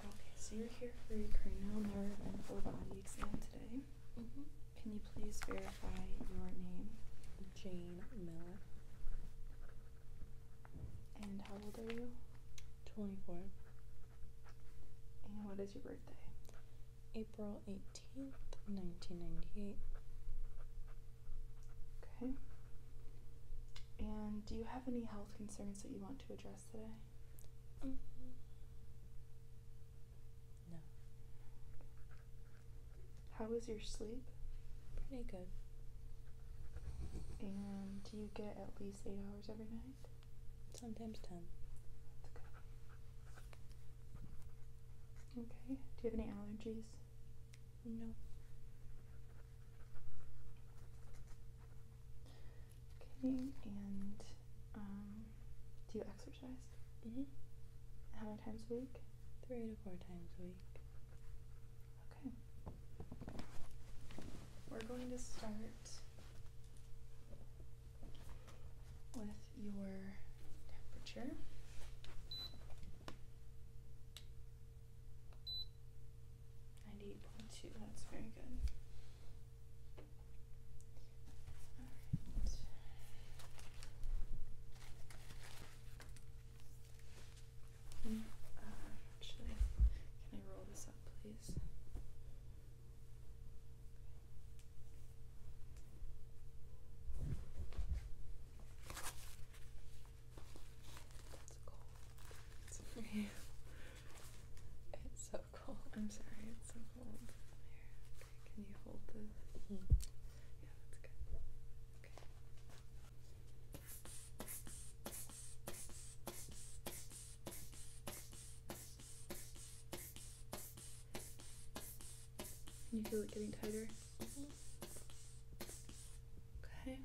Okay, so you're here for your cranial nerve and full body exam today. Mm-hmm. Can you please verify your name? Jane Miller. And how old are you? 24. And what is your birthday? April 18th, 1998. Okay. And do you have any health concerns that you want to address? today? Mm. No. How was your sleep? Pretty good. And do you get at least eight hours every night? Sometimes ten. Okay. Do you have any allergies? No. Okay, and um, do you exercise? Mm-hmm. How many times a week? Three to four times a week. Okay. We're going to start with your temperature. 98.2, that's very good. Uh, actually, can I roll this up, please? That's cold. It's for you. It's so cold. I'm sorry, it's so cold. Here, okay, can you hold this? Mm-hmm. Yeah, that's good. Can you feel it getting tighter? Mm-hmm. Okay.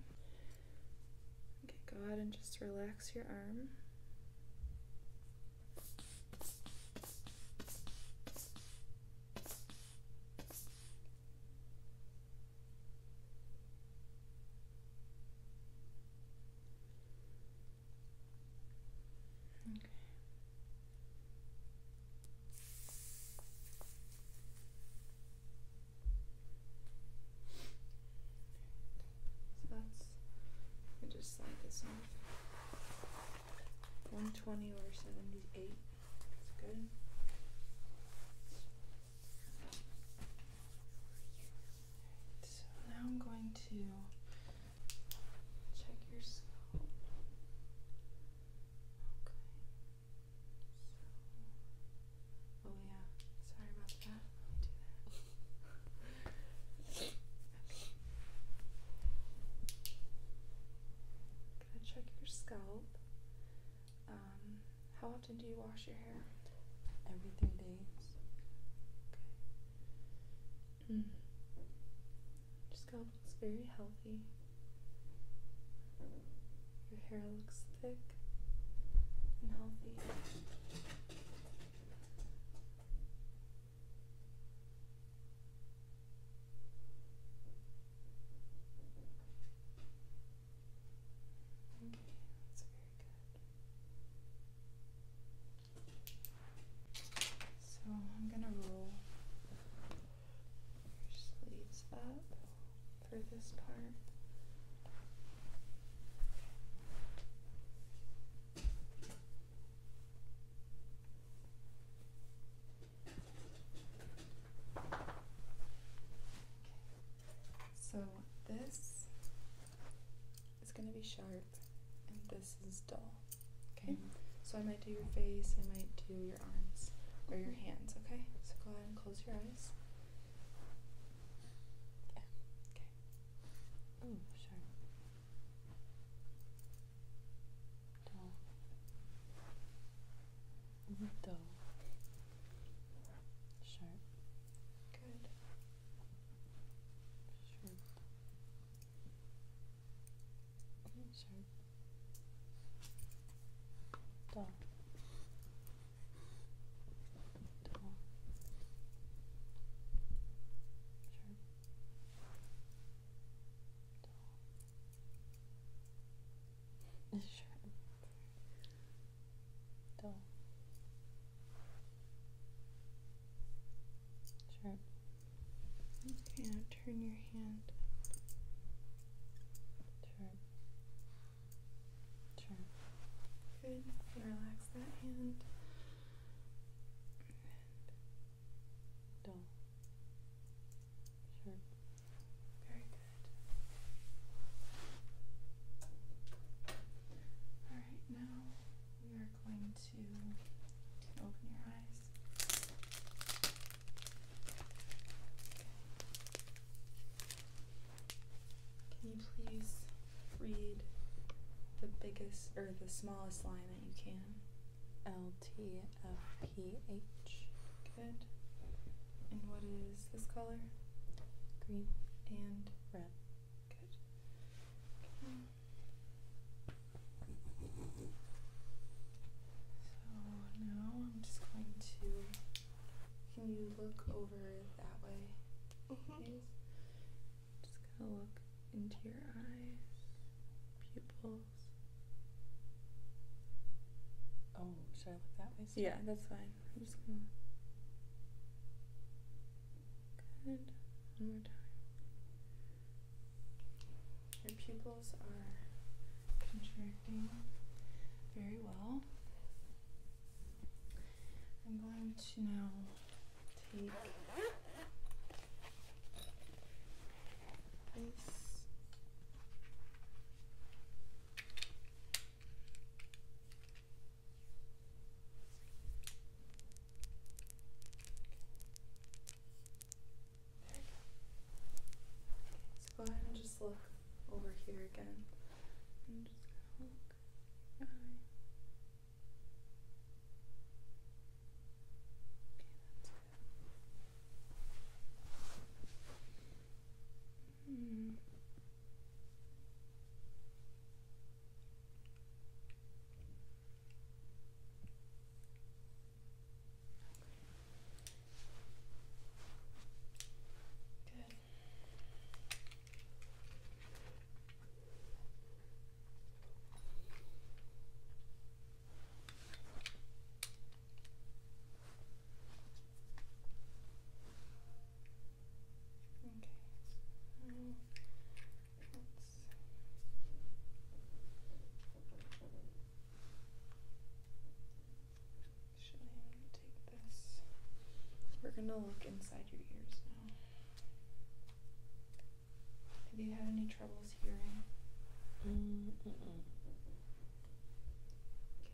Okay, go ahead and just relax your arm. Okay. So that's, I just slide this off. 120 over 78. That's good. So now I'm going to check your scalp. Okay. Oh yeah. Sorry about that. Let me do that. Can I check your scalp? Um, how often do you wash your hair? Every three days. Okay. Mm. Your scalp looks very healthy. Your hair looks thick and healthy. Okay, that's very good. So I'm going to roll your sleeves up for this part. So this is going to be sharp and this is dull. Okay? Mm-hmm. So I might do your face, I might do your arms or your mm-hmm. hands, okay? So go ahead and close your eyes. Okay. Oh, sure. Dull. Mm-hmm. Dull. Sharp. Good. Sharp. Mm, sharp. Dull. Sure. sure. Towel. turn your hand. Sure. Sure. Good. Relax that hand dull. Sharp. Very good. All right, now we are going to open your eyes. Can you please read the biggest or the smallest line that you can? L T F P H. Good. And what is this color? Green and red. Good. So now I'm just going to. Can you look over that way? Mm-hmm. Please? Just gonna look into your eyes, pupils. Oh, should I look that way? Yeah, that's fine. I'm just gonna. Good. One more time. Your pupils are contracting very well. I'm going to now take this. Okay, so go ahead and just look over here again. Okay, that's good. Hmm. Good. Should I take this? We're going to look inside your ears now. Have you had any troubles hearing? Mm -mm -mm. Okay,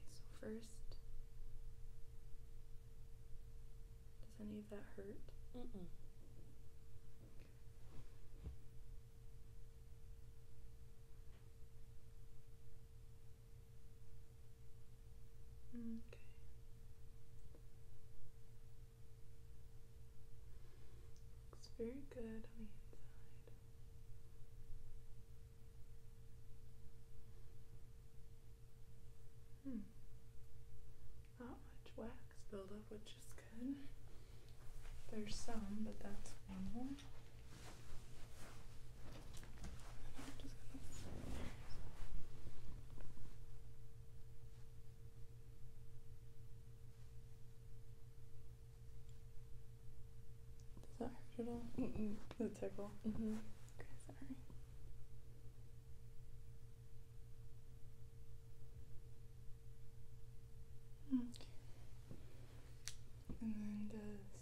so first, does any of that hurt? Mm -mm. Okay. Looks very good on the inside. Hmm. Not much wax buildup, which is good. There's some, but that's normal. Does that hurt at all? it tickle? hmm Okay, sorry. Mm. And does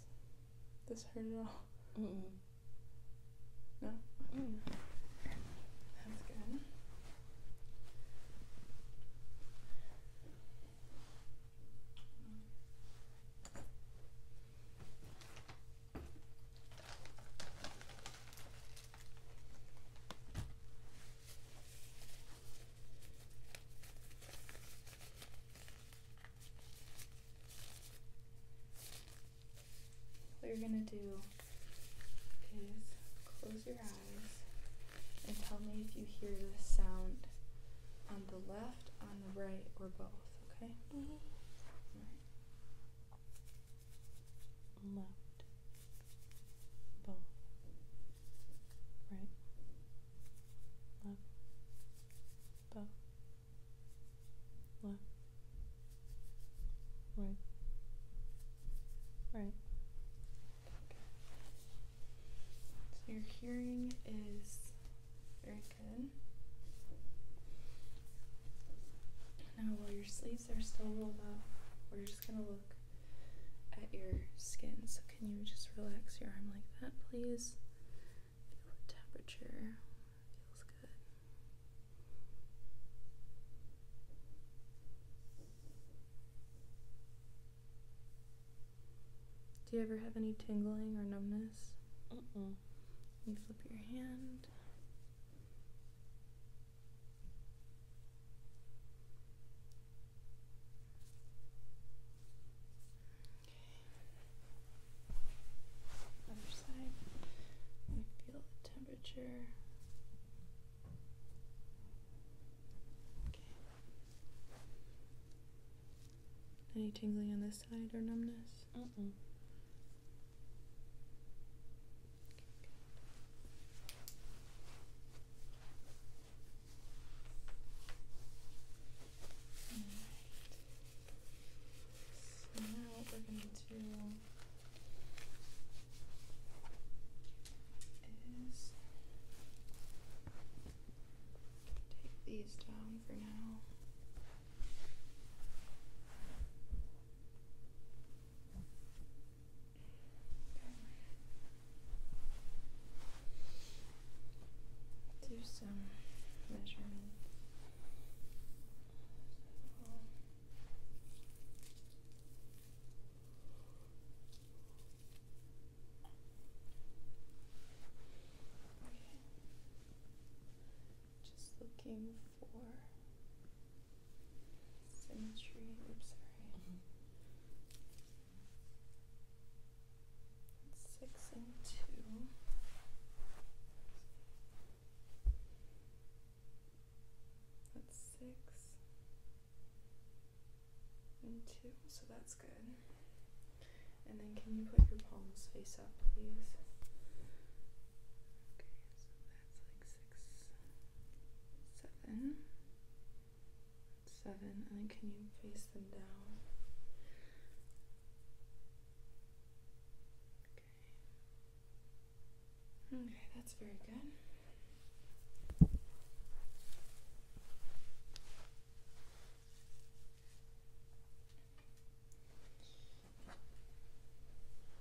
this hurt at all? mm no? Mm. That's good. What you're gonna do is close your eyes and tell me if you hear this sound on the left, on the right, or both, okay? Mm-hmm. Left, both, right, left, both, left. Right. Right. So your hearing is very good. Now, while your sleeves are still rolled up, we're just going to look at your skin. So, can you just relax your arm like that, please? temperature. Feels good. Do you ever have any tingling or numbness? You flip your hand. Other side. I feel the temperature temperature. Okay. Any tingling on this side or numbness? Mm mm. Okay, so now we're going to take these down for now. Do some measurements. Just looking for symmetry. Oops, sorry. Six and two six and two, so that's good. And then can you put your palms face up, please? Okay, so that's like six, seven, seven, and then can you face them down? Okay. that's very good.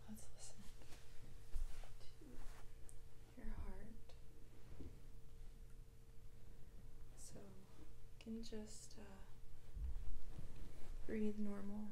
Let's listen to your heart. So you can just uh, breathe normal.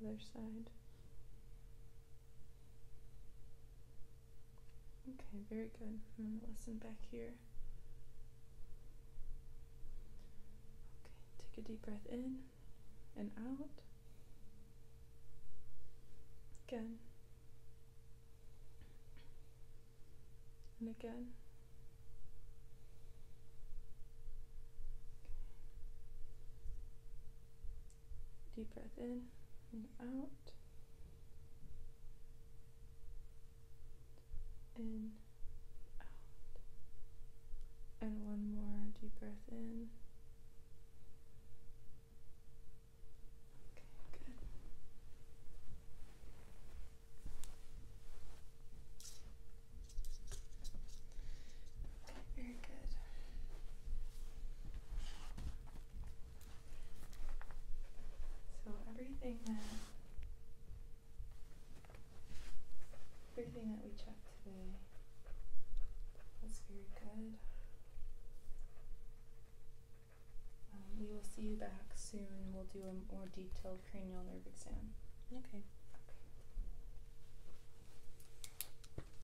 other side. Okay, very good. I'm going to lessen back here. Okay, take a deep breath in and out. Again. And again. Deep breath in and out. In, out. And one more deep breath in. Okay, good. Very good. So everything that everything that we checked today was very good. Um, we will see you back soon. We'll do a more detailed cranial nerve exam. Okay.